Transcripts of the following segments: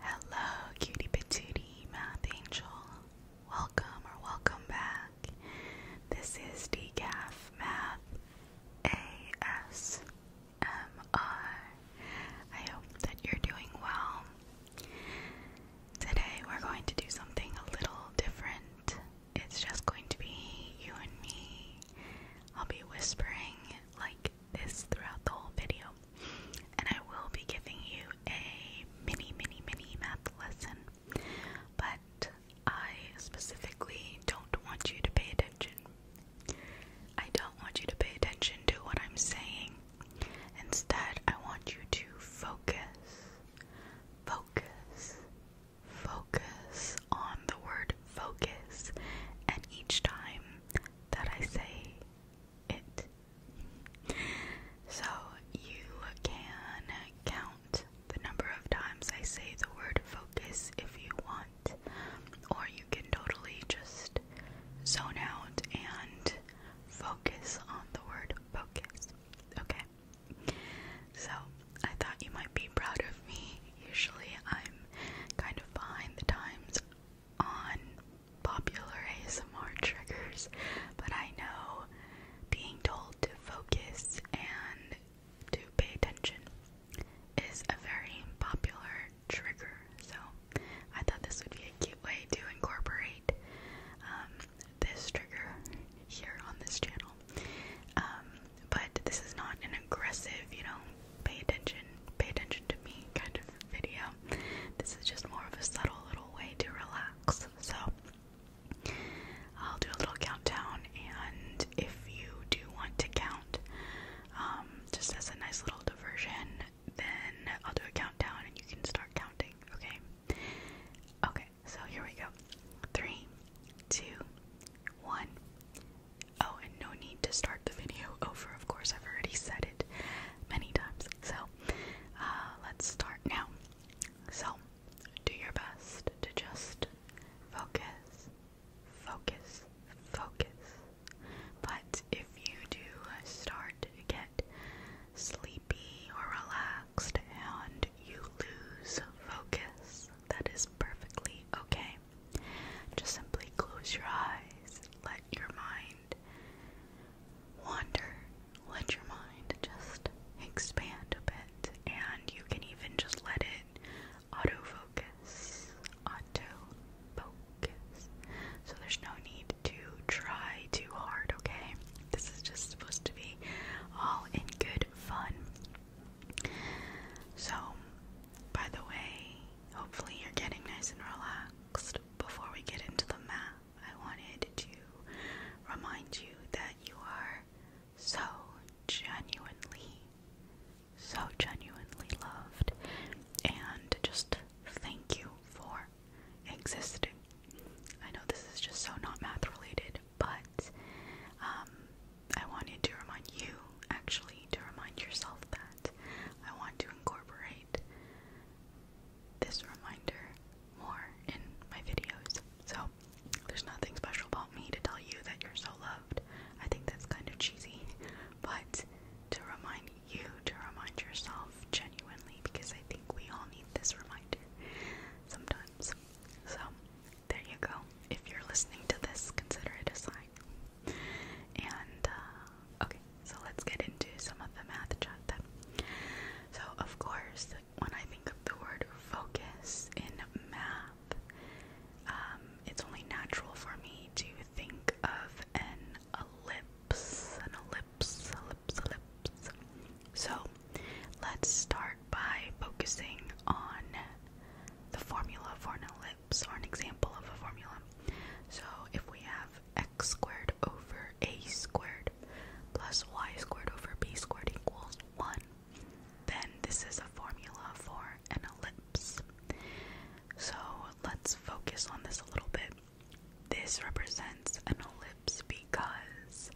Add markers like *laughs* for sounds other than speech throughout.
Hello, cutie patootie math angel. Welcome or welcome back. This is D G A F Math A S M R. I hope that you're doing well. Today we're going to do something a little different. It's just going to be you and me. I'll be whispering like this throughout the whole video. And I will be giving you a mini, mini, mini math lesson. But I specifically don't want you to pay attention. I don't want you to pay attention to what I'm saying. Instead, I want you to focus, focus, focus on the word focus. And each time that I say it. So you can count the number of times I say the word focus if you want, or you can totally just zone out and focus on the word focus. Okay? So I thought you might be proud of me. Usually I'm kind of behind the times on popular ASMR triggers, but I know being told to focus and to pay attention is a very popular trigger. So I thought this would be a cute way to incorporate um, this trigger here on this channel. Um, but this is not an aggressive, you know, pay attention, pay attention to me kind of video. This is just more of a subtle little way to relax. So I'll do a little countdown, and if you do want to count, um, just as a nice little diversion, then I'll do a countdown and you can start counting, okay? Okay, so here we go. Three, two, one. Oh, and no need to start the video over, of course, I've already said it many times. So, uh, let's start now. So, do your best to just focus, focus, focus. But if you do start to get sleepy or relaxed and you lose focus, that is perfectly okay. Just simply close your eyes, let your mind wander, let your mind just expand a bit, and you can even just let it auto-focus, auto-focus. So there's no need to try too hard, okay? This is just supposed to be all in good fun. So, by the way, Hopefully, you're getting nice and relaxed. Before we get into the math. I wanted to remind you that you are so genuinely, so genuinely loved, and just thank you for existing. I know this is just so not math related, but um, I wanted to remind you actually to remind yourself that I want to incorporate this reminder more in my videos. So there's nothing special about me to tell you that you're so loved. I think that's kind of cheesy, but to remind you to remind yourself genuinely because I think we all need this reminder sometimes. So there you go. If you're listening to this, consider it a sign. And uh, okay, so let's get into some of the math chat then. So, of course, when I think of the word focus in math, um, it's only natural for me to think of an ellipse, an ellipse, ellipse, ellipse. So, let's start by focusing on the formula for an ellipse. So an example of a formula. So if we have x squared over a squared plus y squared over b squared equals 1, then this is a formula for an ellipse. So let's focus on this a little bit. This represents an ellipse because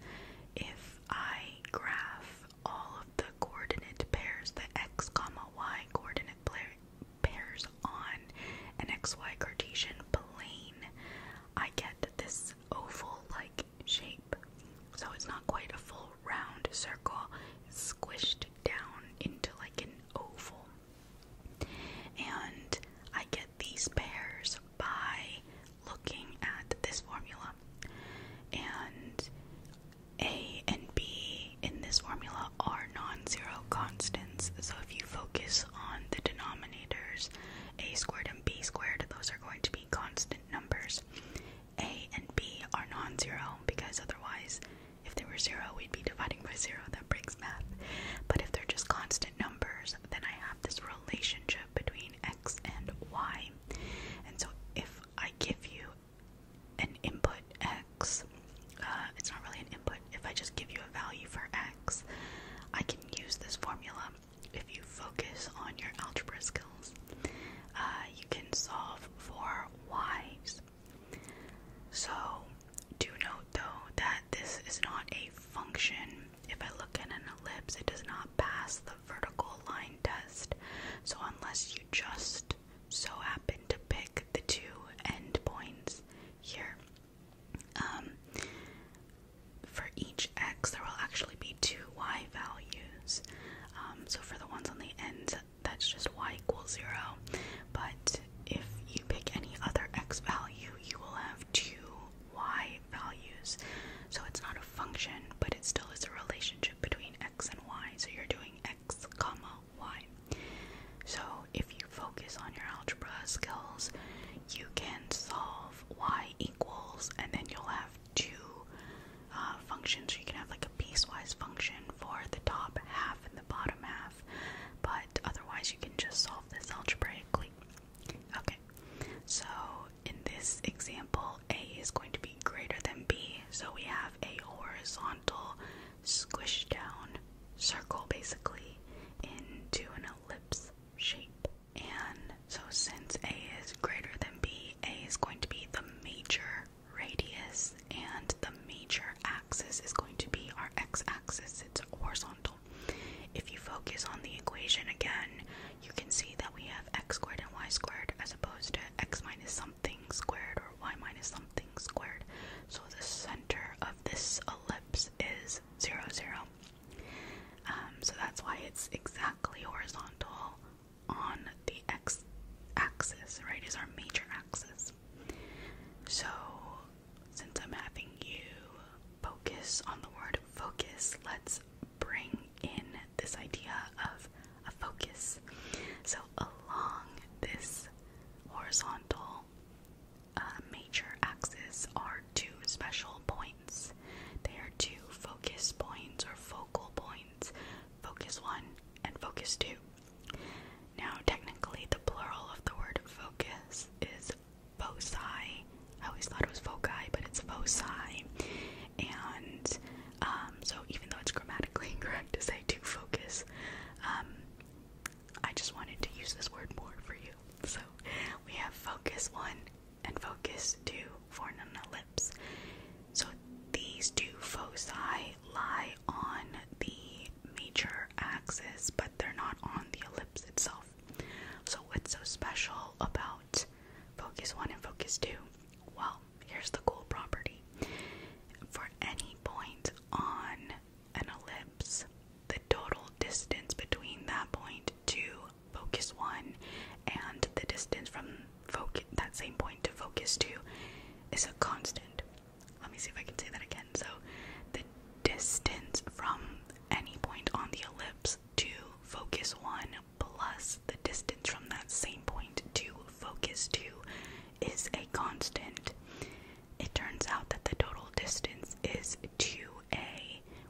if I graph all of the coordinate pairs, the x, comma, y coordinate pairs pairs on an XY Cartesian plane, I get this oval like shape. So it's not quite a full round circle, squished down into like an oval. And I get these pairs by looking at this formula. And a and B in this formula are non-zero constants, so if you focus on the denominators, a squared and b squared, those are going to be constant numbers. A and b are non-zero because otherwise, if they were zero, we'd be dividing by zero. That breaks math. But if they're just constant numbers, then I have this relationship between x and y. And so if I give you an input x. Uh, it's not really an input. If I just give you a value for x, I can use this formula. If you focus on your algebra skills, uh, you can solve for y. So, do note though that this is not a function. If I look at an ellipse, it does not pass the vertical line test. So, unless you just so happen to pick the two end points here. Um, for each x, there will actually be two y values. Um, so for the ones on the ends, that's just y equals zero. But if you pick any other x value, you will have two y values. So it's not a function, but it still is a relationship between x and y. So you're doing x, comma why. So, if you focus on your algebra skills, you can solve y equals, and then you'll have two uh, functions. So you can have like a piecewise function for the top half and the bottom half, but otherwise, you can just solve this algebraically. Okay, so in this example, a is going to be greater than b, so we have a horizontal squish down circle basically into an ellipse shape. And so since A is greater than B, A is going to be the major radius and the major axis is going to be our x-axis, it's horizontal. If you focus on the equation again, you can see that we have x squared and y squared as opposed to x minus something squared or y minus something squared. So the center of this ellipse is 0, 0. Um, so that's why it's exactly horizontal on the x axis, right? Is our major axis. So since I'm having you focus on the word focus, let's bring in this idea of a focus. So along this horizontal uh, major axis are two special points. They are two focus points or focal points, focus one and focus two. Now, technically, the plural of the word focus is foci. I always thought it was foci, but it's foci. And um, so, even though it's grammatically *laughs* incorrect to say I do focus. Um, I just wanted to use this word more for you. So we have focus one and focus two for an ellipse. So these two foci lie on the major axis, but they're not on the ellipse itself. So what's so special about focus one and focus two? Well, here's the cool property. For any point on an ellipse, the total distance between that point to focus 1 and the distance from focus that same point to focus 2 is a constant. Let me see if I can say that again. So the distance from any point on the ellipse to focus 1 plus the distance from that same point to focus 2 is a constant. It turns out that the total distance is 2a,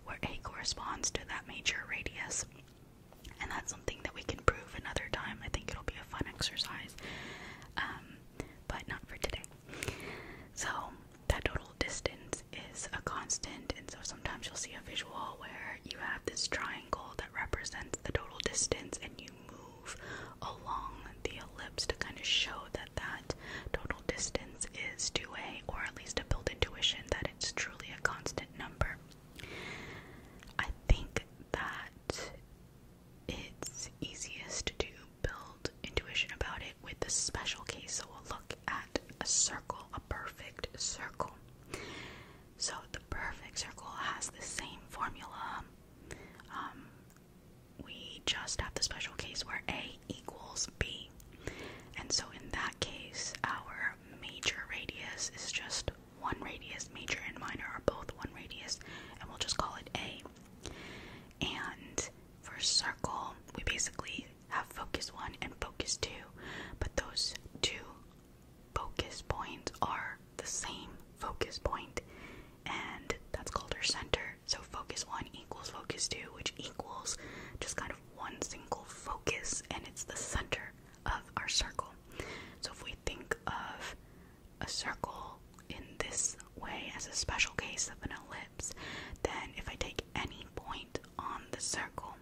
where a corresponds to that major radius. And that's something that we can prove another time. I think it'll be a fun exercise, um, but not for today. So, that total distance is a constant, and so sometimes you'll see a visual where you have this triangle that represents the total distance, and you move along the ellipse to kind of show that that total distance is 2a, or at least to build intuition that it's truly a constant number. I think that it's easiest to build intuition about it with the special case, so we'll look at a circle, a perfect circle. So the perfect circle has the same formula. Um, we just have the special case where A equals B. And so in that case, our major radius is just one radius. Major and minor are both one radius, and we'll just call it A. And for circle, we basically have focus one and focus two, but those two focus points are the same focus point, and that's called our center. So focus 1 equals focus 2, which equals just kind of one single focus, and it's the center of our circle. So if we think of a circle in this way as a special case of an ellipse, then if I take any point on the circle,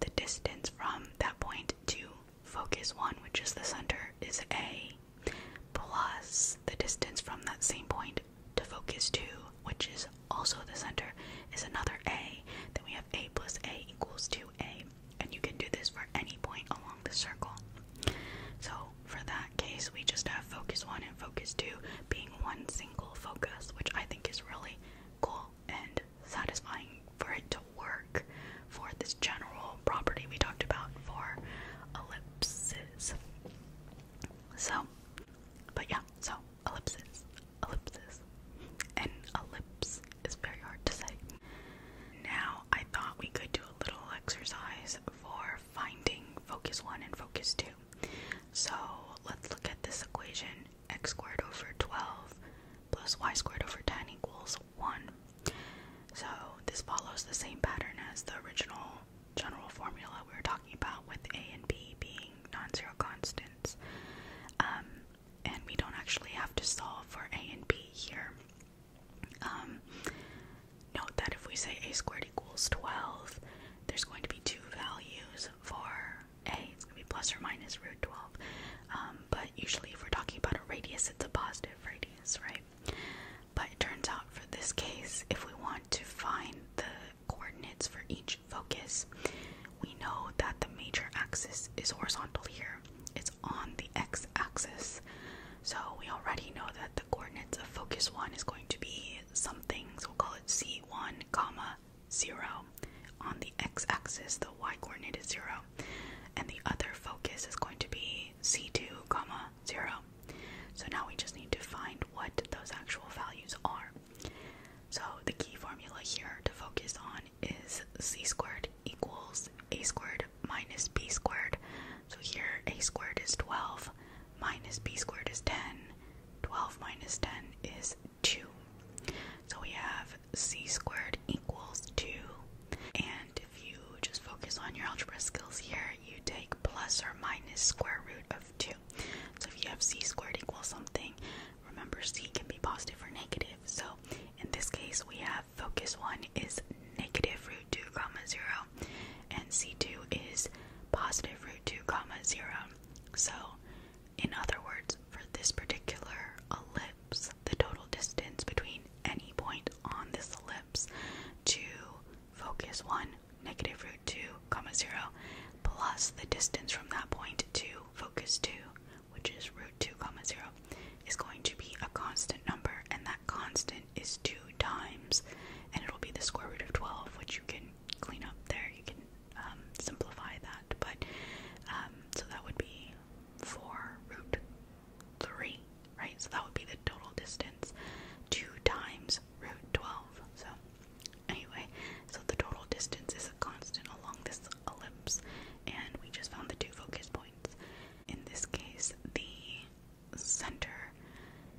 the distance from that point to focus 1, which is the center, is A, plus the distance from that same point to focus 2, which is also the center, is another A. Then we have A plus A equals 2A. And you can do this for any point along the circle. So for that case, we just have focus 1 and focus 2 being one single focus, which I think is really cool and satisfying for it to work for this general property we talked about for ellipses. So, but yeah, so ellipses, ellipses, and ellipse is very hard to say. Now, I thought we could do a little exercise for finding focus 1 and focus 2. So, let's look at this equation x squared over 12 plus y squared over 10 equals 1. So this follows the same pattern as the original general formula we were talking about with a and b being non-zero constants. Um, and we don't actually have to solve for a and b here. Um, note that if we say a squared equals 12, there's going to be two values for a. It's going to be plus or minus root 12. Um, but usually if we're talking about a radius, it's a positive radius, right? But it turns out for this case, if we want to find the coordinates for each focus, we know that the major axis is horizontal here. It's on the x-axis. So we already know that the coordinates of focus 1 is going to be something, so we'll call it c1, comma, 0. Um, on the x-axis, the y-coordinate is zero, and the other focus is going to be c2, comma zero. So now we just need to find what those actual values are. So the key formula here to focus on is c squared equals a squared minus b squared. So here a squared is 12, minus b squared is 10, 12 minus 10 is 2. So we have c squared equals 2. And if you just focus on your algebra skills here, you take plus or minus square root of 2. So if you have c squared equals something, remember c can be positive or negative. So in this case, we have focus 1 is negative root 2 comma 0, and c2 is positive root 2 comma 0. So in other words, for this particular ellipse, the total distance between any point on this ellipse to focus 1, negative root 2, comma 0, plus the distance from that point to focus 2, which is root 2, comma 0, is going to be a constant number, and that constant is 2 times, and it'll be the square root of 12, which you can clean up there, you can um, simplify that, but um, so that would be 4 root 3, right? So that would be the total distance 2 times root 12. So anyway, so the total distance is a constant along this ellipse, and we just found the two focus points. In this case, the center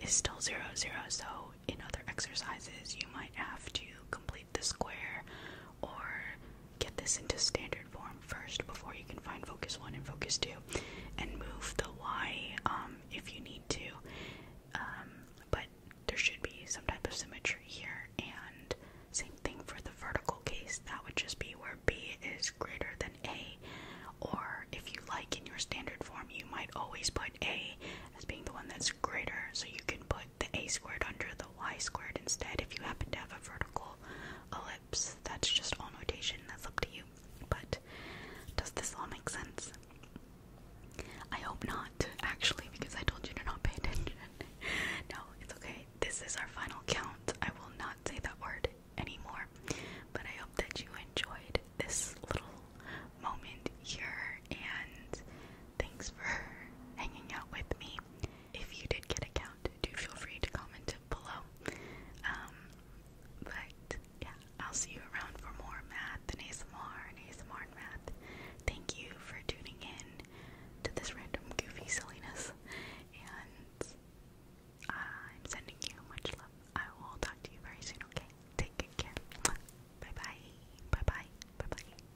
is still 0, 0, so in other exercises you might have to complete the square or get this into standard form first before you can find focus one and focus two and move the Y um, if you need to. Um, but there should be some type of symmetry here, and same thing for the vertical case. That would just be where B is greater than A, or if you like in your standard form, you might always put A as being the one that's greater, so you can put the a squared under the y squared instead if you happen to have a vertical ellipse. That's just all notation, that's up to you. But does this all make sense? I hope not, actually, because I told you to not pay attention. *laughs* no, it's okay. This is our final count. I will not say that word anymore. But I hope that you enjoyed this little moment here and thanks for *laughs* hanging out with me if you did get a count, do feel free to comment it below. Um, but yeah, I'll see you around for more math and ASMR ASMR math. Thank you for tuning in to this random goofy silliness, and I'm sending you much love. I will talk to you very soon, okay? Take good care. Bye bye. Bye bye. Bye bye.